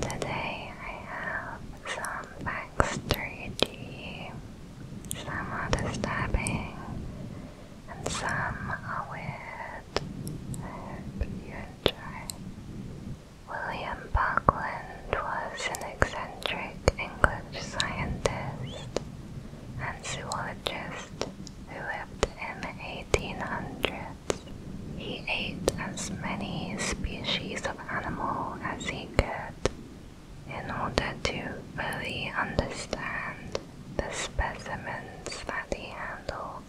Today I have some backstory some are disturbing and some are I hope you enjoy. William Buckland was an eccentric English scientist and zoologist who lived in the 1800s. He ate as many species of animal as he could in order to fully understand the specimens that he handled.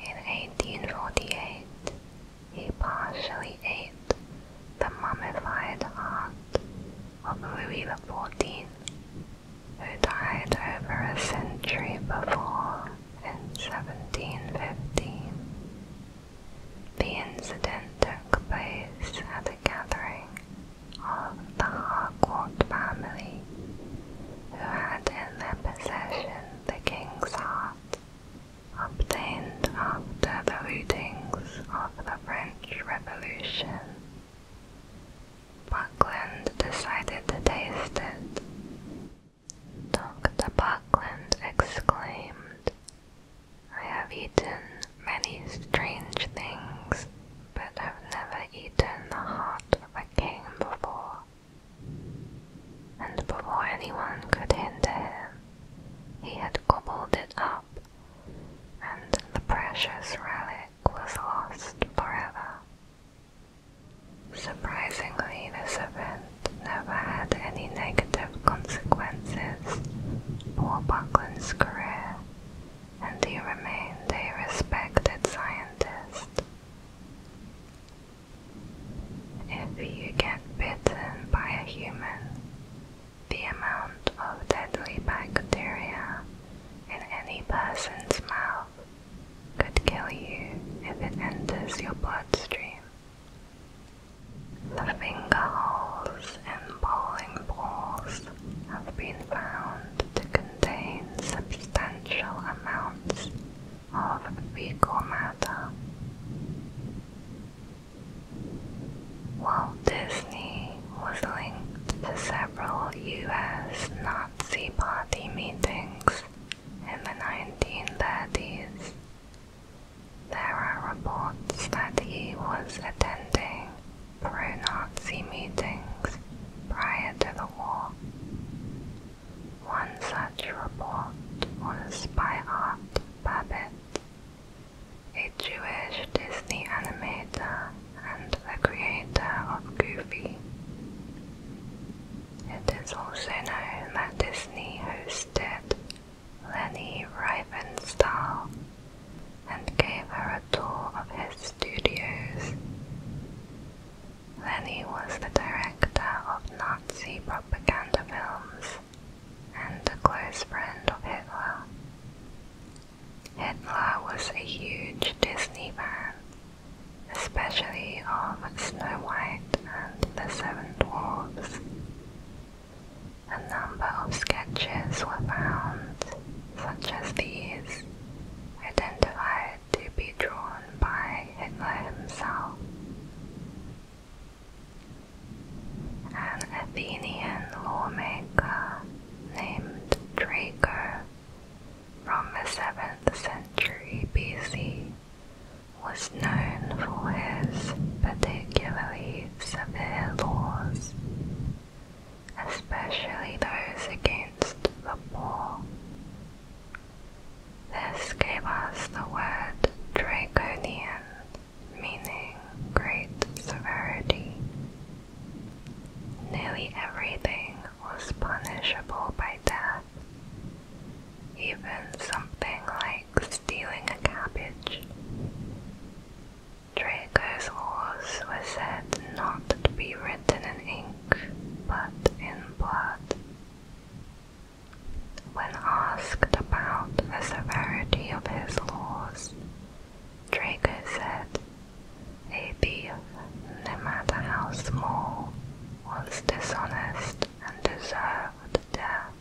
In 1848, he partially ate the mummified heart of Louis XIV, who died over a century before. In 1715, the incident took place at a gathering of the Harcourt family, who had in their possession the king's heart, obtained after the lootings of the French Revolution. Buckland decided to taste it Dr. Buckland exclaimed, I have eaten many strange things, but I have never eaten the heart of a king before. And before anyone could hinder him, he had gobbled it up, and the precious relic was lost forever. Surprisingly, this event never had any negative consequences for Buckland's career, and he remained a respected scientist. If you get bitten by a human, the amount of deadly bacteria in any person's mouth could kill you if it enters your bloodstream. The finger holes in bowling balls have been found to contain substantial amounts of vico matter. Walt Disney was linked to several U.S. Nazi Party meetings in the 1930s, there are reports that he was attending pro-Nazi meetings prior to the war. One such report was by Art Babbitt, a Jewish Disney animator and the creator of Goofy. It is also known that Disney hosted Leni Riefenstahl and gave her a tour of his studios. Lenny was the director of Nazi propaganda films and a close friend of Hitler. Hitler was a huge Disney fan especially of Snow White and the Seven Dwarfs. A number of sketches were found, such as these, identified to be drawn by Hitler himself. An Athenian lawmaker named Draco from the 7th century BC was known for his particularly severe laws, especially those against the poor. This gave us the word draconian, meaning great severity. Nearly everything was punishable by like that. Even something like stealing a cabbage. Draco's laws were said not to be written in ink, but in blood. When asked about the severity of his laws, Draco said a thief, no matter how small, was dishonest and deserved death.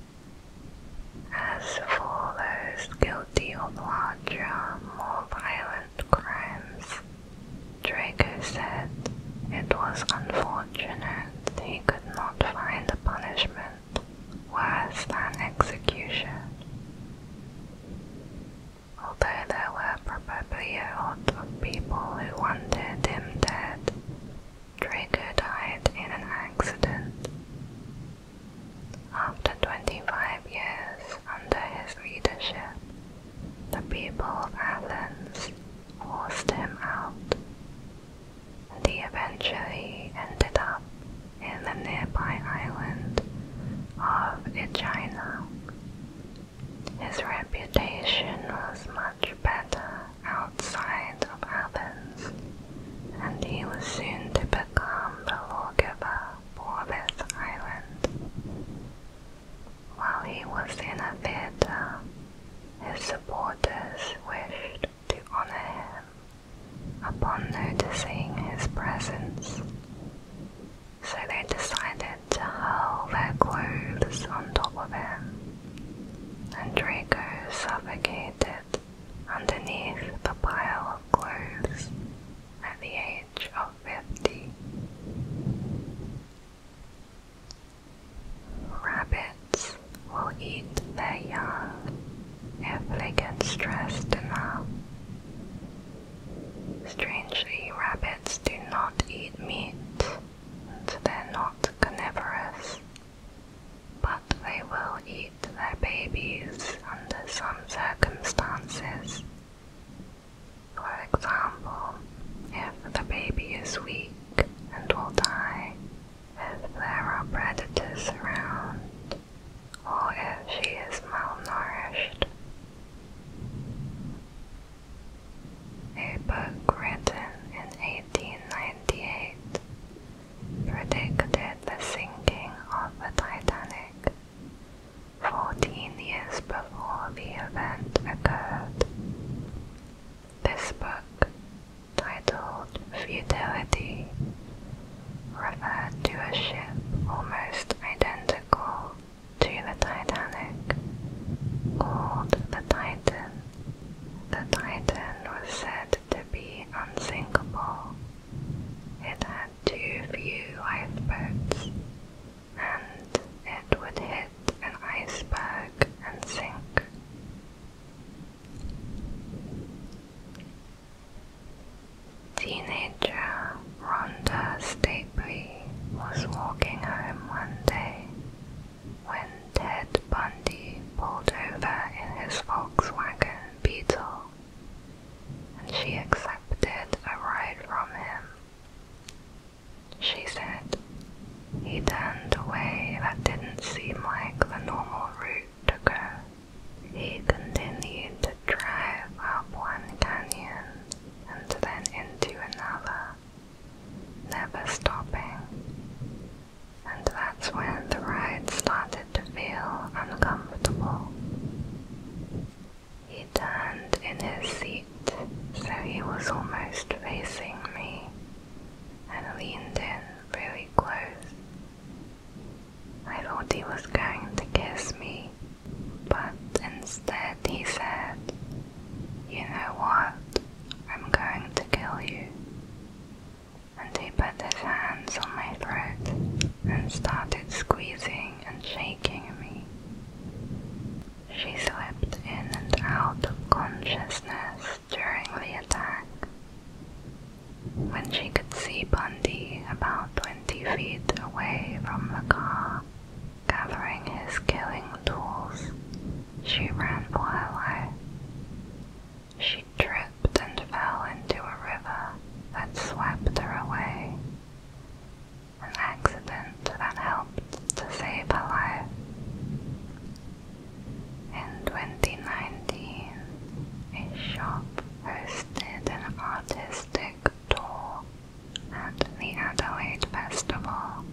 As for those guilty of larger, more violent crimes, Draco said it was unfortunate he could not find a punishment worse than execution although there were probably a lot of people who wanted him dead. Draco died in an accident. After 25 years under his leadership, the people of Athens forced him out, and he eventually ended up in the nearby island of Aegina. His reputation was much better outside of Athens, and he was soon to become the lawgiver for this island. While he was in a theatre, his supporters wished to honor him upon noticing his presence so they decided to hurl their clothes on top of him, and Draco suffocated underneath the pile of clothes at the age of fifty. Rabbits will eat their young if they get stressed enough. Strangely, rabbits do not eat meat, they're not carnivorous, but they will eat their babies under some circumstances. For example, if the baby is weak and will die, if there are predators around, or if she is malnourished a book written in 1898 predicted the sinking of the Titanic 14 years before the event occurred. This book, titled Futility, referred to a ship almost identical to the Titanic called the Titan. The Titan was said to be unsinkable. It had too few lifeboats and it would hit an iceberg and sink. Teenager Rhonda Stapley was walking home one day when Ted Bundy pulled over in his Volkswagen Beetle, and she accepted a ride from him. She said, he turned away that didn't seem like the normal route to go. He continued to drive up one canyon and then into another, never stopping. And that's when the ride started to feel uncomfortable. He turned in his seat so he was almost facing me and leaned in really close. I thought he was going to kiss me but instead he said, You know what? I'm going to kill you. And he put his hands on my throat and started squeezing and shaking me. She slipped in and out of consciousness during the attack. When she could see Bundy about 20 feet away from the car, Gathering his killing tools, she ran for her life. She tripped and fell into a river that swept her away. An accident that helped to save her life. In 2019, a shop hosted an artistic tour at the Adelaide Festival.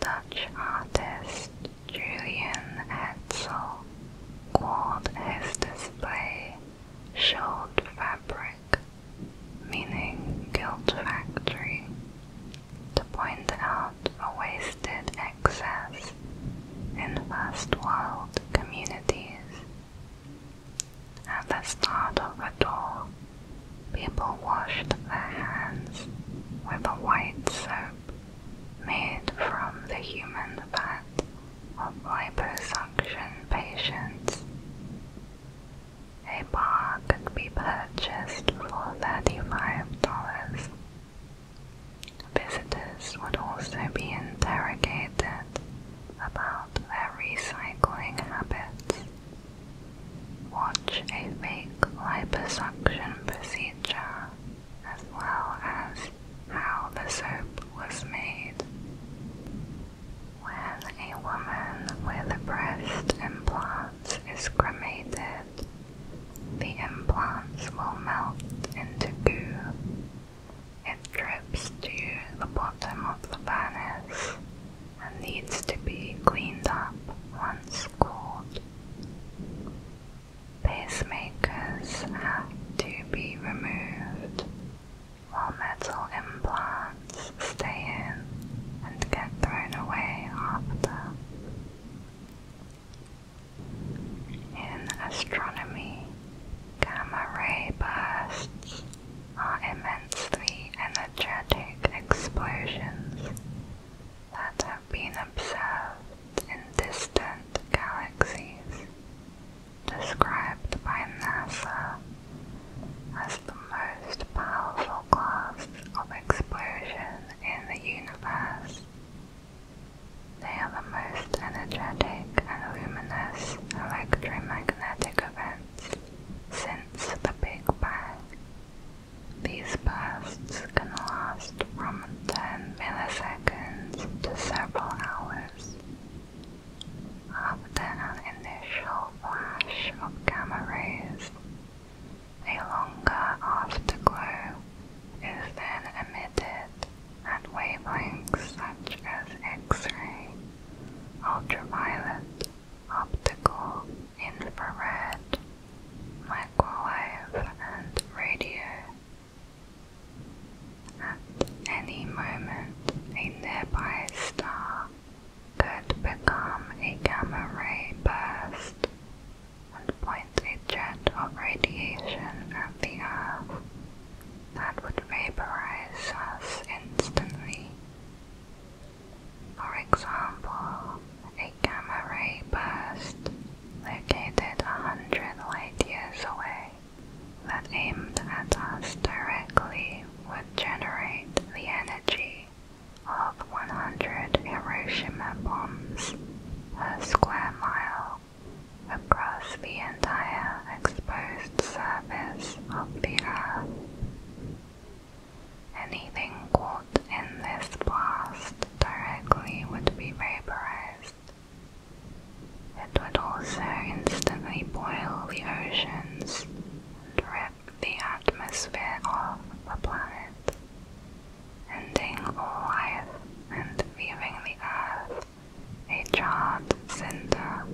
Dutch artist Julian Hetzel called his display Schuld Fabric, meaning guilt factory, to point out a wasted excess in vast world communities at the start of the tour, people washed their hands with a white soap made from the human fat of liposuction patients. A bar could be purchased for $35. Visitors would also be interrogated about their recycling habits. Watch a fake liposuction procedure as well as how the soap was made. When a woman with a breast implants is cremated, the implants will melt into goo it drips to the bottom of the furnace and needs to be cleaned up once cooled. Pacemakers have to be removed while metal implants stay in and get thrown away after. In astronomy, gamma ray bursts are immensely energetic explosions that have been observed in distant galaxies, described by NASA as the most powerful class of explosion in the universe. They are the most energetic and luminous electromagnetic since the Big Bang. These bursts can last from 10 milliseconds to several hours. After an initial flash of gamma rays, a longer afterglow is then emitted at wavelengths such as X-ray ultraviolet, optical, infrared, microwave, and radio. At any moment, a nearby star could become a gamma ray burst and point a jet of radiation at the Earth that would vaporize us instantly. For example, a gamma ray burst located a hundred light years away that aimed at us directly would generate the energy of 100 Hiroshima bombs per square mile across the entire exposed surface of the Earth. Anything caught in this blast directly would be vaporized. It would also instantly boil the oceans and rip the atmosphere off the planet, ending all life and leaving the Earth a charred cinder.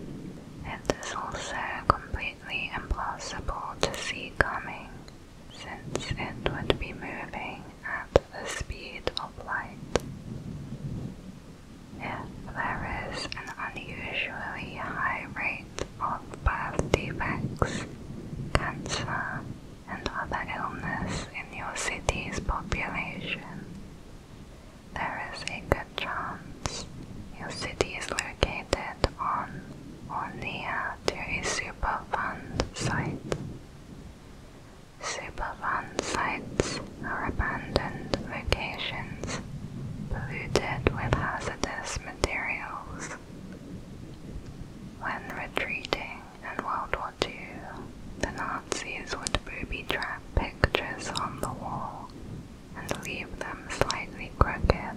It is also completely impossible to see coming, since it would be moving at the speed of light. If there is an unusually high rate of birth defects, cancer, and other illness in your city's population, there is a good chance your city is located on or near to a Superfund site. Superfund sites are abandoned locations polluted with hazardous materials. When retreating in World War II, the Nazis Nazis would booby-trap pictures on the wall and leave them slightly crooked.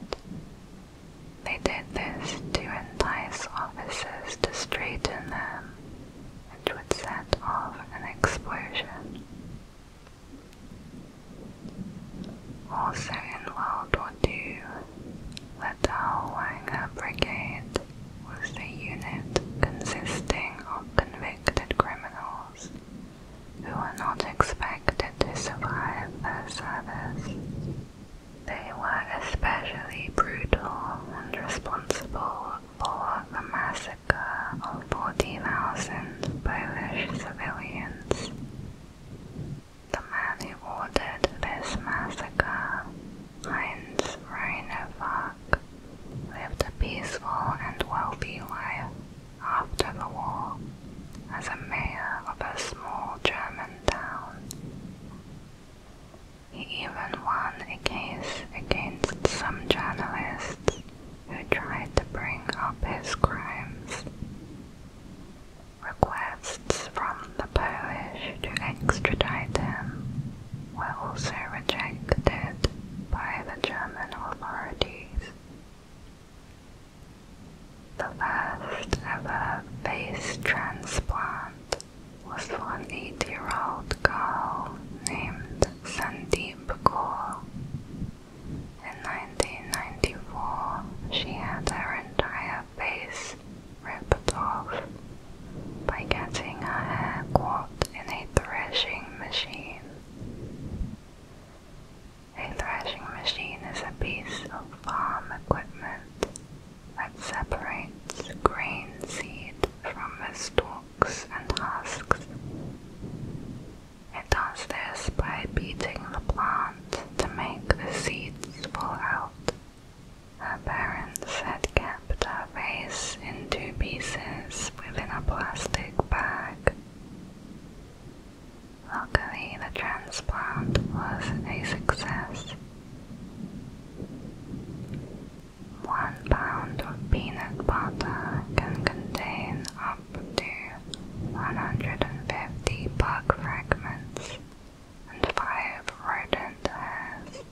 They did this to entice officers to straighten them, which would set off an explosion. Also in World War the Dahlwanger Brigade was a unit consisting of convicted criminals who were not expected to survive their service. They were especially brutal and responsible for the massacre of fourteen thousand Polish civilians. The man who ordered this massacre, Heinz Reinhofer, lived a peaceful and wealthy life after the war as a mayor of a small German town. He even won a case against some journalists who tried to bring up his crimes. Requests from the Polish to extradite him were also rejected by the German authorities. The last ever face transplant was for an eight-year-old girl named Sandeep Kaur. In 1994, she had her entire face ripped off by getting her hair caught in a threshing machine. A threshing machine is a piece of farm equipment that separates grain seed from the stalks and husks. It does this by beating the plant to make the seeds fall out. Her parents had Put our face in two pieces within a plastic bag. Luckily, the transplant was a success. One pound of peanut butter can contain up to 150 bug fragments and five rodent hairs.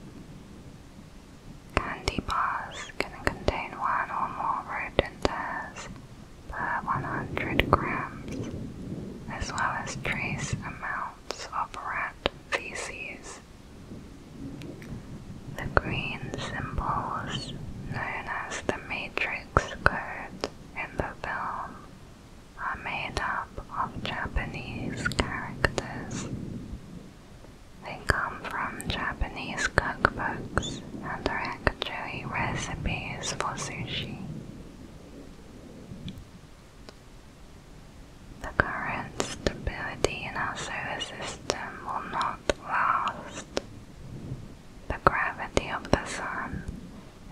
Candy bars can contain one or more rodent hairs per 100 grams, as well as trace amounts of rat feces. The green symbols, known as the Matrix code in the film, are made up of Japanese characters they come from Japanese cookbooks and are actually recipes for sushi. The current stability in our solar system will not last. The gravity of the sun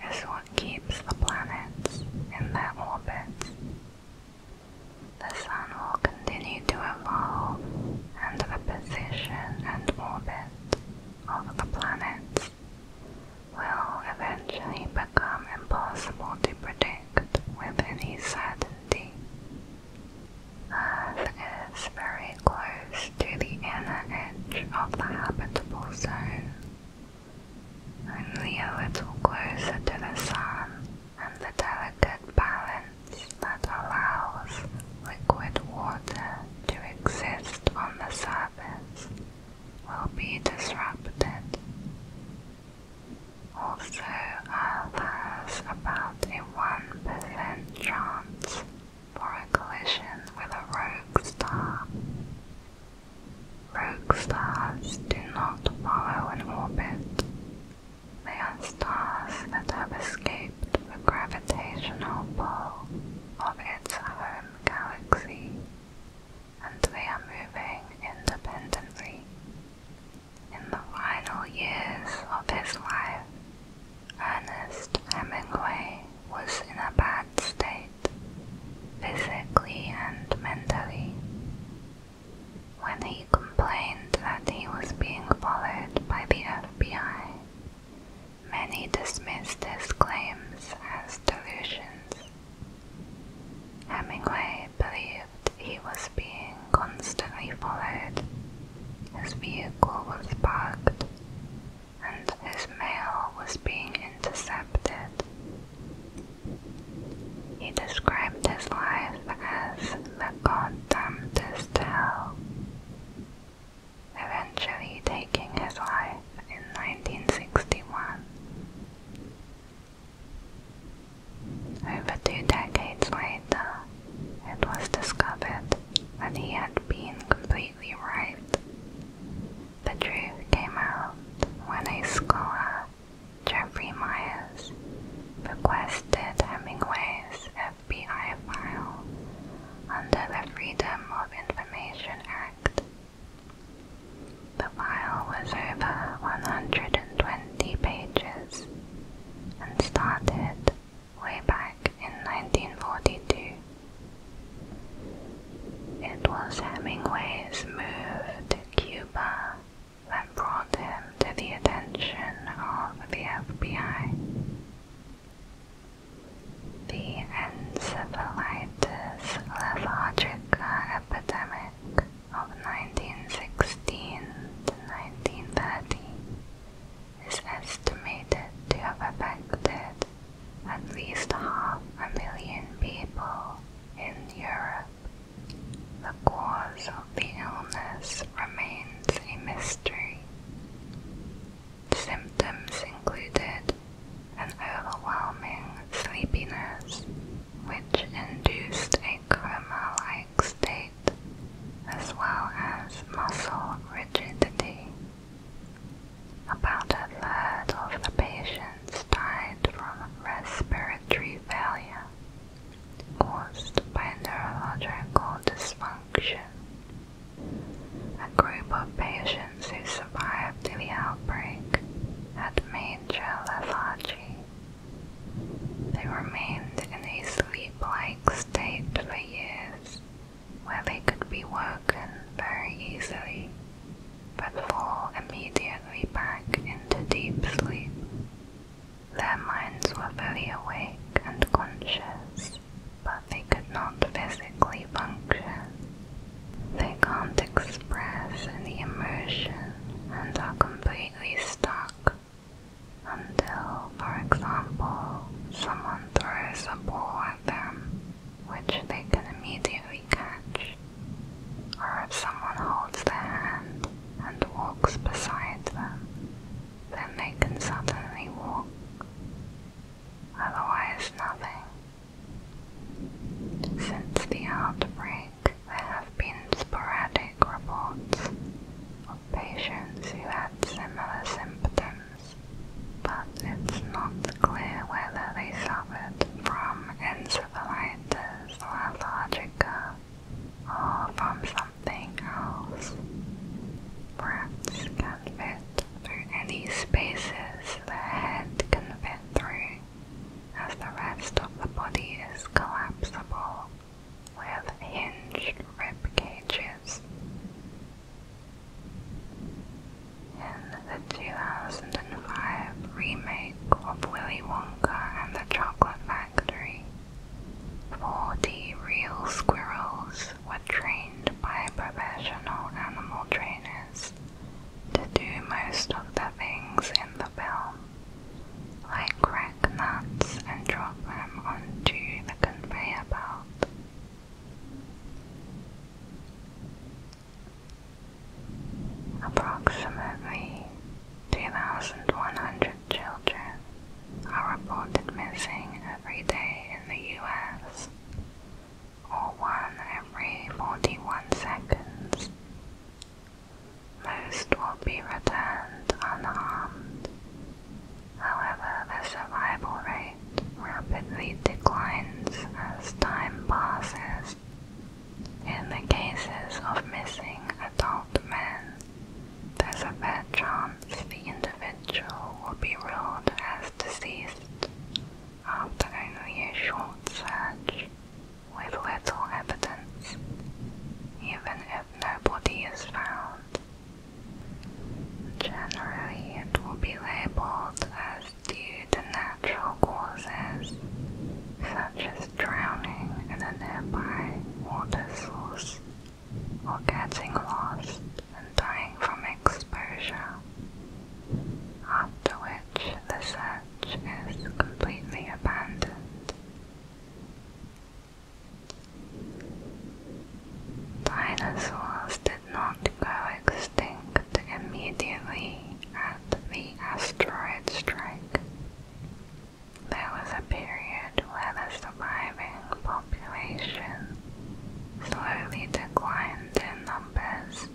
is what keeps the planets in their orbits the Sun will continue to evolve and the position and orbit of the planets will eventually become impossible to predict with any certainty. Earth is very close to the inner edge of the habitable zone, only a little closer to the Sun and the delicate balance that allows liquid water to exist on the surface will be disrupted. Also, Earth has about a 1% chance for a collision with a rogue star. Rogue stars do not follow an orbit, they stars that have escaped the gravitational pull of its home galaxy, and they are moving independently. In the final years of his life, Ernest Hemingway was in a bad state, physically and mentally, when he complained that he was being followed by the FBI. Many dismissed his claims as delusions. Hemingway believed he was being constantly followed. His vehicle was parked, and his mail was being intercepted. He described his life as the condemned is hell, eventually taking his life in 1961. Over two decades later, it was discovered that he had been completely right. The truth came out when a scholar Jeffrey Myers requested Hemingway's FBI file under the Freedom of Information Act. The file was over 120 pages and started way back in 1942. It was Hemingway's move to Cuba that brought him to the attention of the FBI. The encephalitis lethargica epidemic of 1916 to 1930 is estimated to have affected at least half a million people in Europe. The cause of the illness remains a mystery. Symptoms included an overwhelming sleepiness, which induced a coma like state, as well as muscle rigidity. About a third of the patients died from respiratory failure caused by neurological dysfunction. A group of patients who survived the outbreak had major lethargy. They remained in a sleep-like state for years, where they could be woken very easily, but fall immediately back into deep sleep. Their minds were fully awake and conscious, but they could not physically function. They can't express any emotion and are completely stuck until, for example, someone throws a ball at them, which they can immediately catch, or if someone holds their hand and walks beside them, then they can suddenly walk. Otherwise, nothing. Since the outbreak, there have been sporadic reports of patients who had similar symptoms, but it's not clear whether they suffered from encephalitis lethargica or oh, from something else. Breaths can fit through any spaces the head can fit through, as the rest of the body is collapsible with hinged rib cages. In the 2005 remake of Willy Wonka and the Chocolate Factory, factory. the real squirrels were trained by professional animal trainers to do most of the things in the film, like crack nuts and drop them onto the conveyor belt. Approximately 2,100 children are reported missing every day in the US, or one every 41 seconds. Most will be returned unharmed. However, the survival rate rapidly declines as time passes. In the cases of missing adult men, there's a fair chance the individual will be ruled as deceased after only a short search with little evidence, even if no body is found. Generally, it will be labeled as due to natural causes, such as drowning in a nearby water source or getting lost and dying from exposure, after which the search is completely abandoned. Dinosaurs did not go extinct immediately at the asteroid strike. There was a period where the surviving population slowly declined in numbers,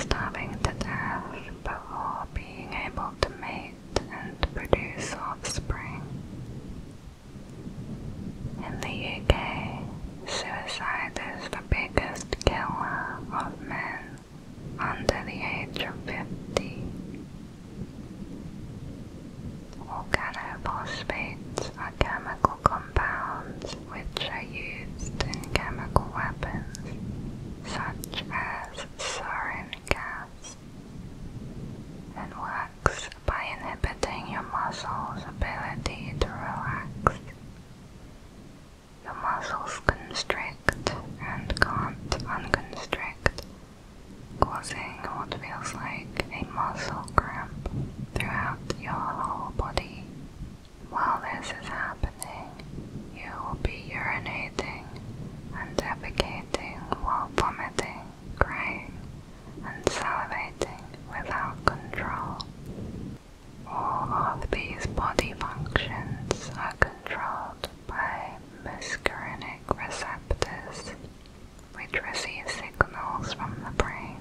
starving to death before being able to mate and produce offspring. In the UK, suicide is the biggest killer of men under the age of 50. Organophosphates are chemical compounds which are used in chemical weapons such as sarin gas. It works by inhibiting your muscles' ability to relax. The muscles constrict and can't unconstrict, causing what feels like a muscle cramp throughout your whole body. While this is happening, you will be urinating and defecating while vomiting, crying, and salivating without control. All of these body functions are controlled by muscarinic receptors, which receive signals from the brain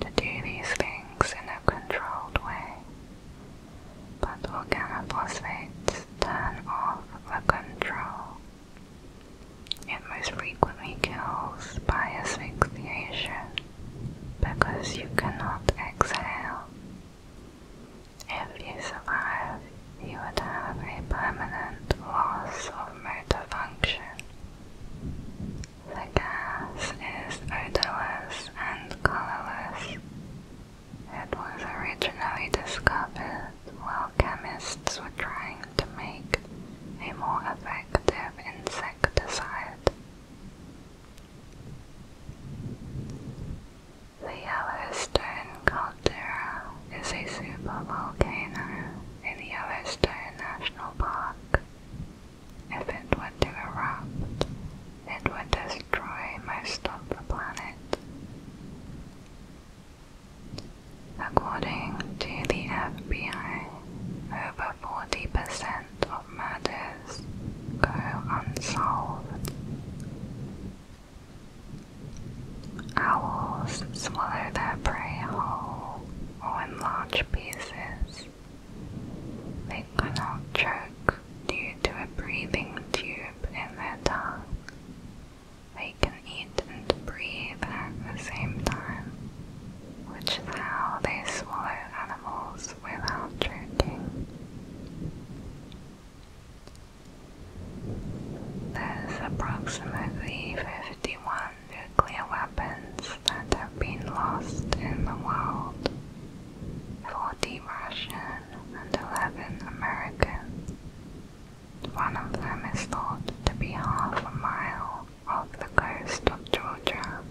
to do these things in a controlled way. But organophosphates turn off the control. It most frequently kills by asphyxiation because you cannot exhale. If you survive, you would have a permanent loss of motor function. The gas is odorless and colorless. It was originally discovered while chemists were trying to make a more effective insecticide. The Yellowstone caldera is a supervolcano in Yellowstone National Park. If it were to erupt, it would destroy most of the planet. According to the FBI, over 40% of murders go unsolved. Owls swallow their prey whole or in large pieces. They cannot choke due to a breathing tube in their tongue. They can eat and breathe at the same time, which is how they swallow animals without choking. There's approximately 51 nuclear weapons that have been lost in the world, 40 Russian and 11 American. One of them is thought to be half a mile off the coast of Georgia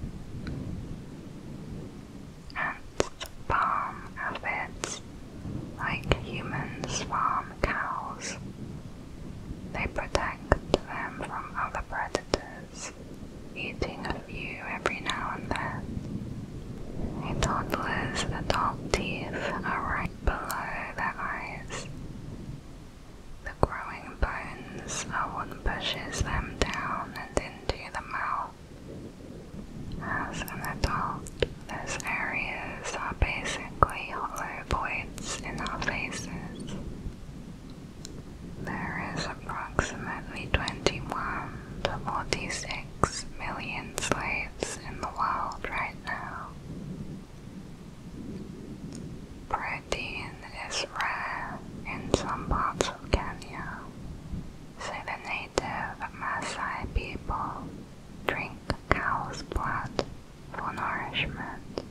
and farm aphids, like humans farm cows. They protect them from other predators, eating a few every now and then. A toddler's adult teeth are right below their eyes. The growing bones are what pushes them down and into the mouth. As an adult, these areas are basically hollow voids in our faces. There is approximately 21 to 46 million slaves in the world right now. Protein is rare in some parts of Kenya, some native Maasai people drink cow's blood for nourishment.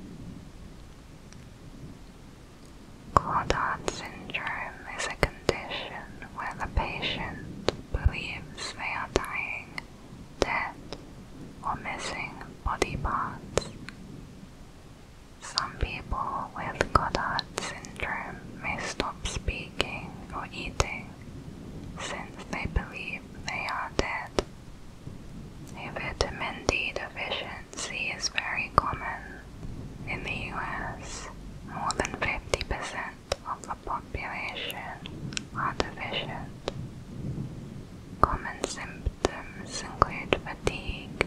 Claudette syndrome is a condition where the patient believes they are dying, dead, or missing body parts. Some people with Claudette syndrome may stop speaking or eating since they believe they are dead. vitamin D deficiency is very common. In the US, more than 50% of the population are deficient. Common symptoms include fatigue,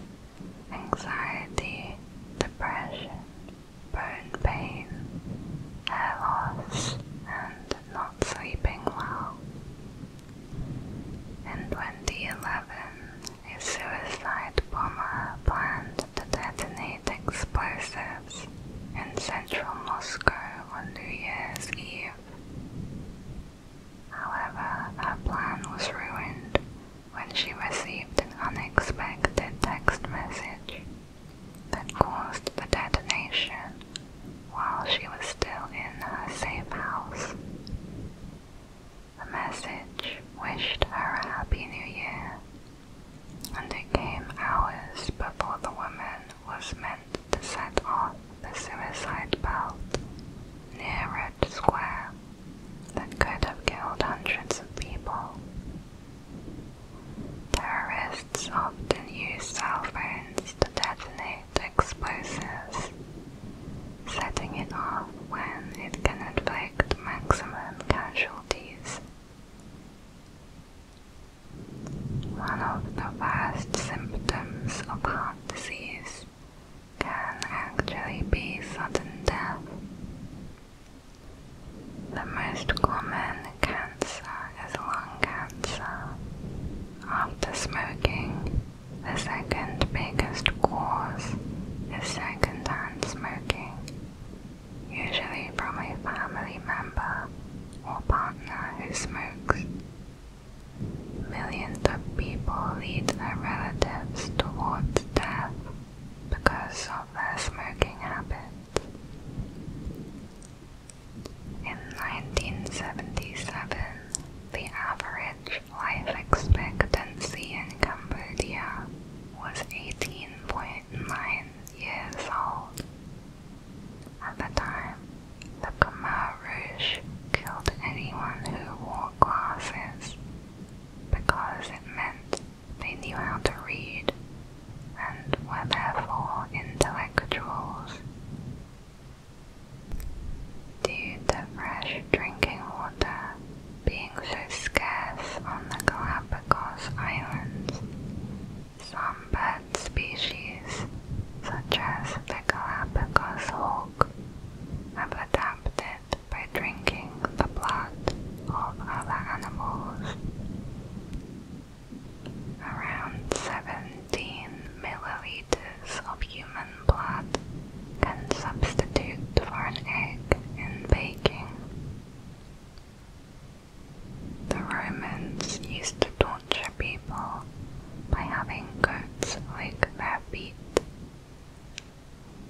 anxiety, depression, burn pain, hair loss, and not sleeping well. And when a suicide bomber, planned to detonate explosives in central Moscow on New Year's Eve. However, that plan was ruined when she received an unexpected text message that caused the detonation while she was still in her same house. The message wished her a happy new year, and it came hours before the woman was meant to set off the suicide belt near Red Square that could have killed hundreds of people. Terrorists often use cell phones to detonate explosives, setting it off when it can inflict maximum casualties. One of the worst symptoms of heart disease can actually be sudden death. The most common cancer is lung cancer. After smoking, the second biggest cause is secondhand smoking, usually from a family member or partner who smokes. Millions of people lead their relatives towards death because of of smoking habits. In 1977, the average life expectancy in Cambodia was 18.9 years old. At the time, the Khmer Rouge killed anyone who wore glasses because it meant they knew how to read and were therefore intellectuals. Due to fresh drinking water being so scarce on the Galapagos Islands, some bird species, such as the Galapagos hawk, have adapted by drinking the blood of other animals. Around 17 milliliters of human blood can substitute for an egg in baking. The Romans used to torture people by having goats lick their feet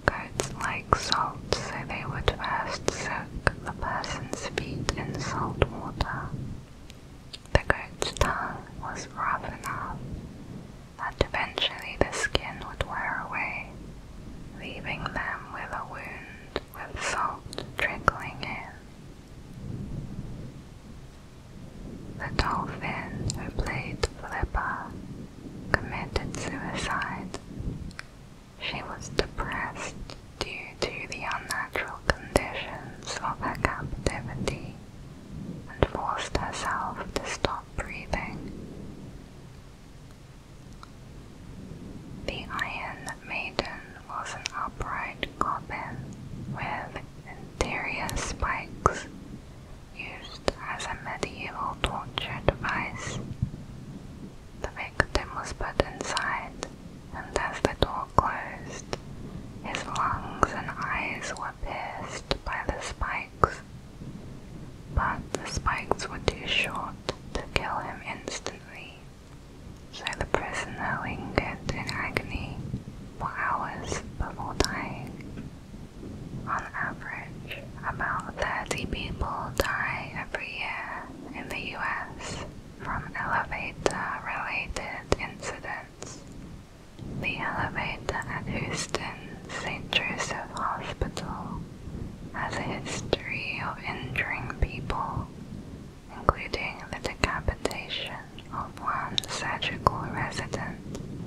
Goats like salt, so they would first soak the person's feet in salt water. The goat's tongue was rough enough that eventually the skin would wear away, leaving them with a wound with salt trickling in. The dolphin who played flipper committed suicide she was depressed due to the unnatural conditions of her captivity and forced herself to stop breathing. The Iron Maiden was an upright coffin with interior spikes used as a medieval torture device. The victim was put inside, and as the door closed, his lungs and eyes were pierced by the spikes. But the spikes were too short to kill him instantly, so the prisoner lingered in agony for hours before dying. On average, about 30 people die every year in the US from elevator-related incidents. The elevator at Houston St. Joseph Hospital has a history of injuring people, including the decapitation of one surgical resident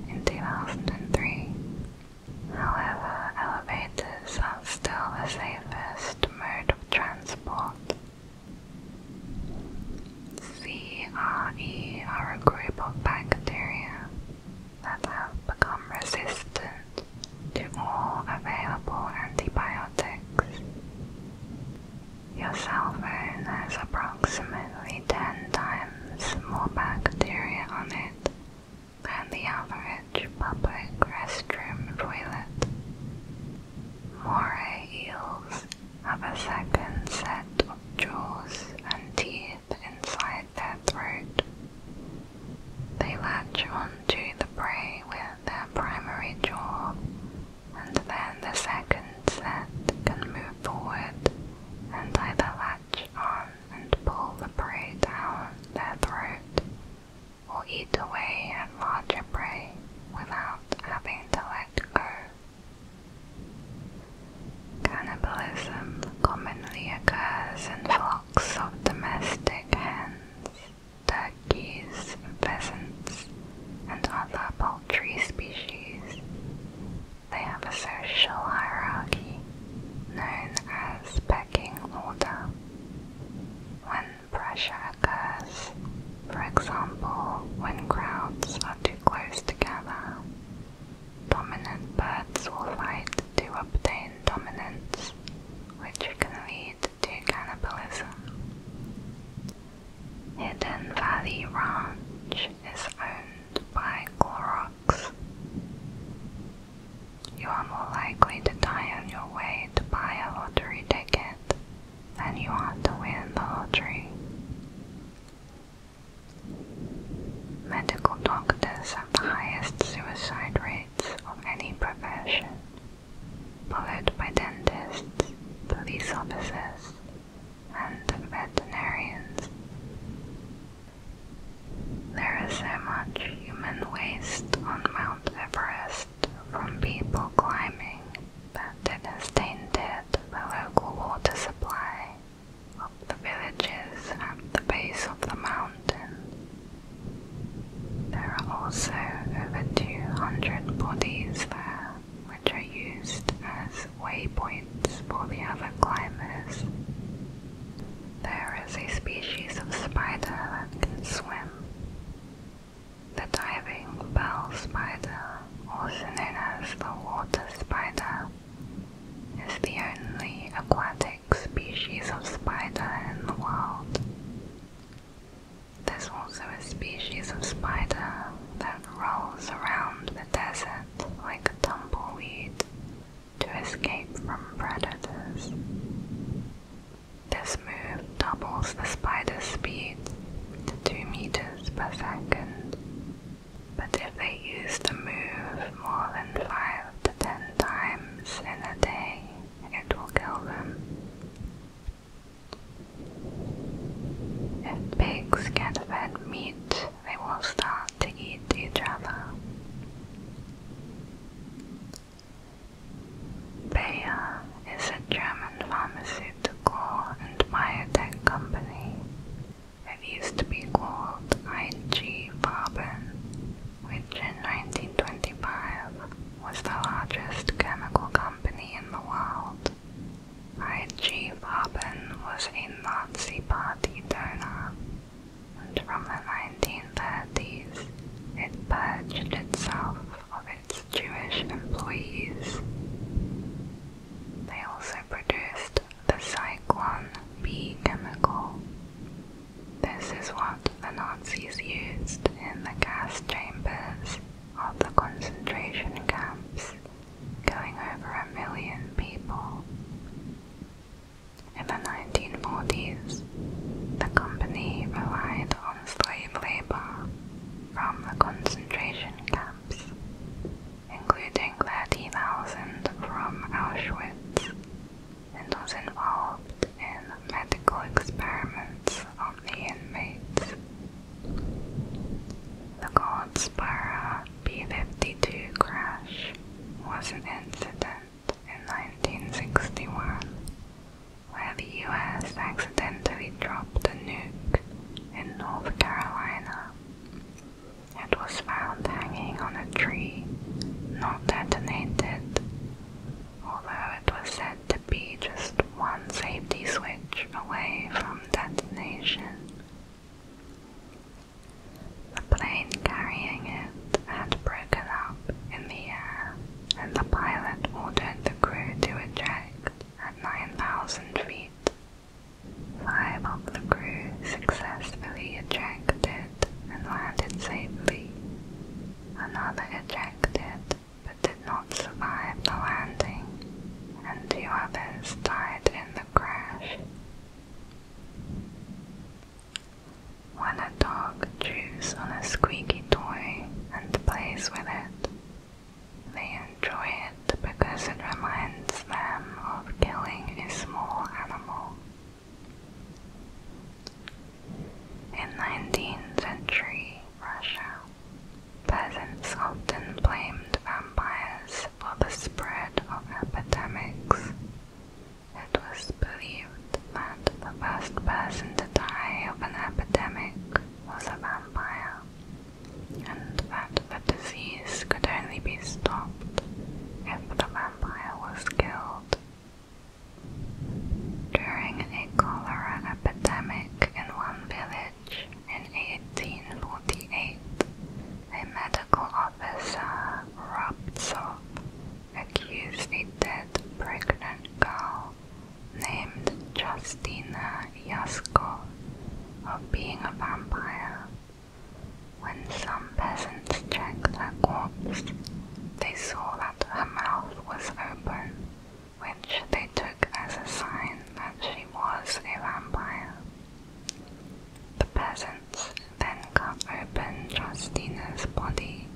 in 2003. However, elevators are still the safest mode of transport. CRE are a group of bacteria that have become resistant to all available antibiotics. Your cell phone has approximately 10 times more bacteria on it than the average public restroom toilet. Moray eels have a second set of jaws and teeth inside their throat. They latch onto the prey with their primary jaw, and then the second set can move forward and either latch on and pull the prey down their throat, or eat away at larger prey without having to let go. Cannibalism commonly occurs in flocks of domestic hens, turkeys, pheasants, and other poultry species. They have a social hierarchy known as pecking order. When pressure occurs, for example, when crowds are too close together, dominant birds will fight to obtain dominance, which can lead to cannibalism. Hidden Valley Ranch is owned by Clorox. You are more likely to die on your way to buy a lottery ticket than you are to win the lottery. Medical doctors have the highest suicide rates of any profession, followed by dentists, police officers, and veterinarians. There is so much human waste on Mount Everest from people climbing that it has tainted the local water supply of the villages at the base of the mountain. There are also over 200 bodies there which are used as waypoints for the other climbers. There is a species of spider that can swim. The diving bell spider, also known as the water spider, is the only aquatic species of spider in the world. There's also a species of spider that rolls around the desert like a tumbleweed to escape from predators. This move doubles the spider's speed to 2 meters per second, but if they use the move more than 5 to 10 times in a day, it will kill them. If pigs get fed meat they will start to eat each other. Bayer is a German pharmaceutical and biotech company. It used to be called IG Farben, which in 1925 was the largest chemical company in the world. IG Farben was a Nazi Party donor and from the 1930s it purged itself of its Jewish employees. They also produced the Cyclone B chemical. This is what the Nazis used in the gas chambers of the concentration camps, killing over a million people. In the 1940s, the company relied on slave labor from the concentration camps, including 30,000 from Auschwitz, and was involved in medical experiments on the inmates. The Goldsboro B-52 crash was an incident in 1961 where the U.S. accidentally dropped a nuke in North Carolina. It was found hanging on a tree, not detonated, although it was said to be just one safety switch away from detonation. The plane carrying it had broken up in the air, and the pilot ordered the crew to eject at 9,000 feet. Five of the crew successfully ejected and landed safely. Another ejected but did not survive the landing, and two others died in the crash. When a dog chews on a squeaky toy and plays with it, they enjoy it because it reminds them of killing a small animal. In 19th century Russia, peasants often blamed vampires for the spread of epidemics. It was believed that the first person to die of an epidemic was a vampire, and that the disease could only be stopped if the vampire was killed. During a cholera epidemic in one village in 1848, a medical officer Rabtsov accused a dead pregnant girl named Justina Yasko of being a vampire. When some peasants checked her corpse, they saw that her mouth was open, which they took as a sign that she was a vampire. The peasants then cut open Justina's body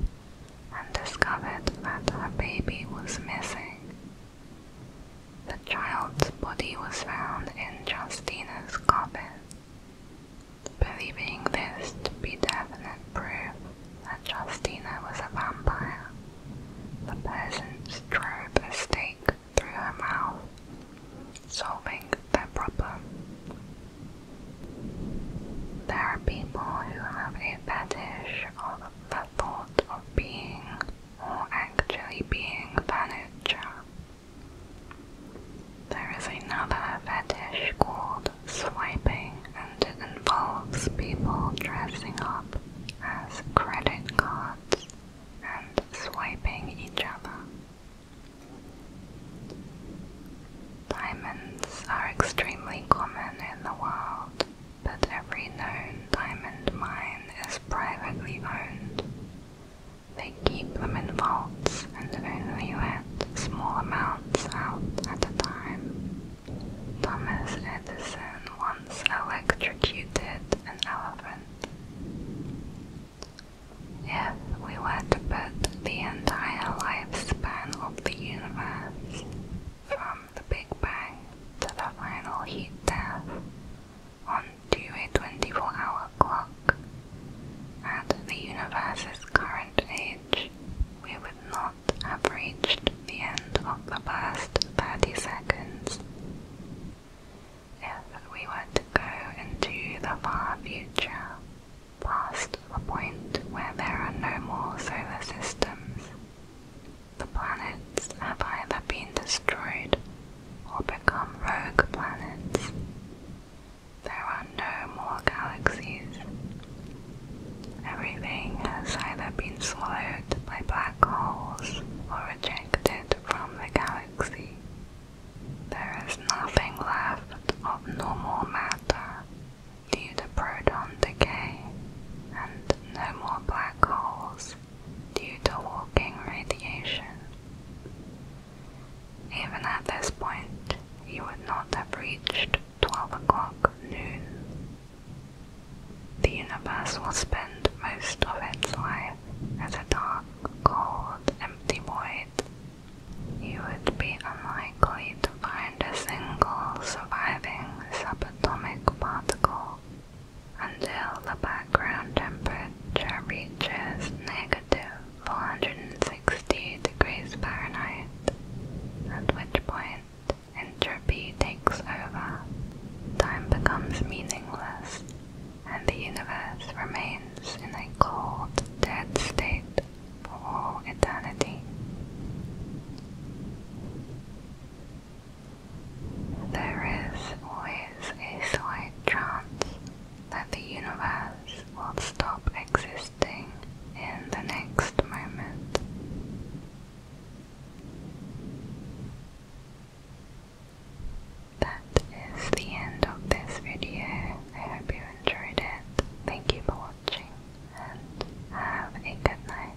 and discovered that her baby was missing. The child's body was found in Justina's coffin. Believing this to be definite proof that Justina was a vampire, the peasants drove a stake through her mouth, solving their problem. There are people who have a fetish of the thought of being or actually being furniture. There is another fetish called swiping, and it involves people dressing up as credit cards and swiping each other. Diamonds are extremely common in the world, but every known diamond mine is privately owned. They keep them in vaults and only let small amounts out at a time. Thomas Edison once electrocuted an elephant. If we were to put the entire lifespan of the universe from the Big Bang to the final heat death onto a 24 hour clock, at the universe's current age, we would not have reached the end of the first 30 seconds. If we were to go into the far future, past a point where there are no more solar systems, the planets have either been destroyed or become rogue planets. There are no more galaxies. Everything has either been swallowed by black holes or ejected from the galaxy. There is nothing left of normal matter due to proton decay and no more black holes due to Hawking radiation. Even at this point, you would not have reached 12 o'clock noon. The universe will spend most of its life as a dark, cold, empty void, you would be unlikely to find a single surviving subatomic particle until the background temperature reaches negative 460 degrees Fahrenheit, at which point entropy takes over. Time becomes meaningless, and the universe remains in a cold, dead state for all eternity. There is always a slight chance that the universe will stop existing in the next moment. That is the end of this video. I hope you enjoyed it. Thank you for watching and have a good night.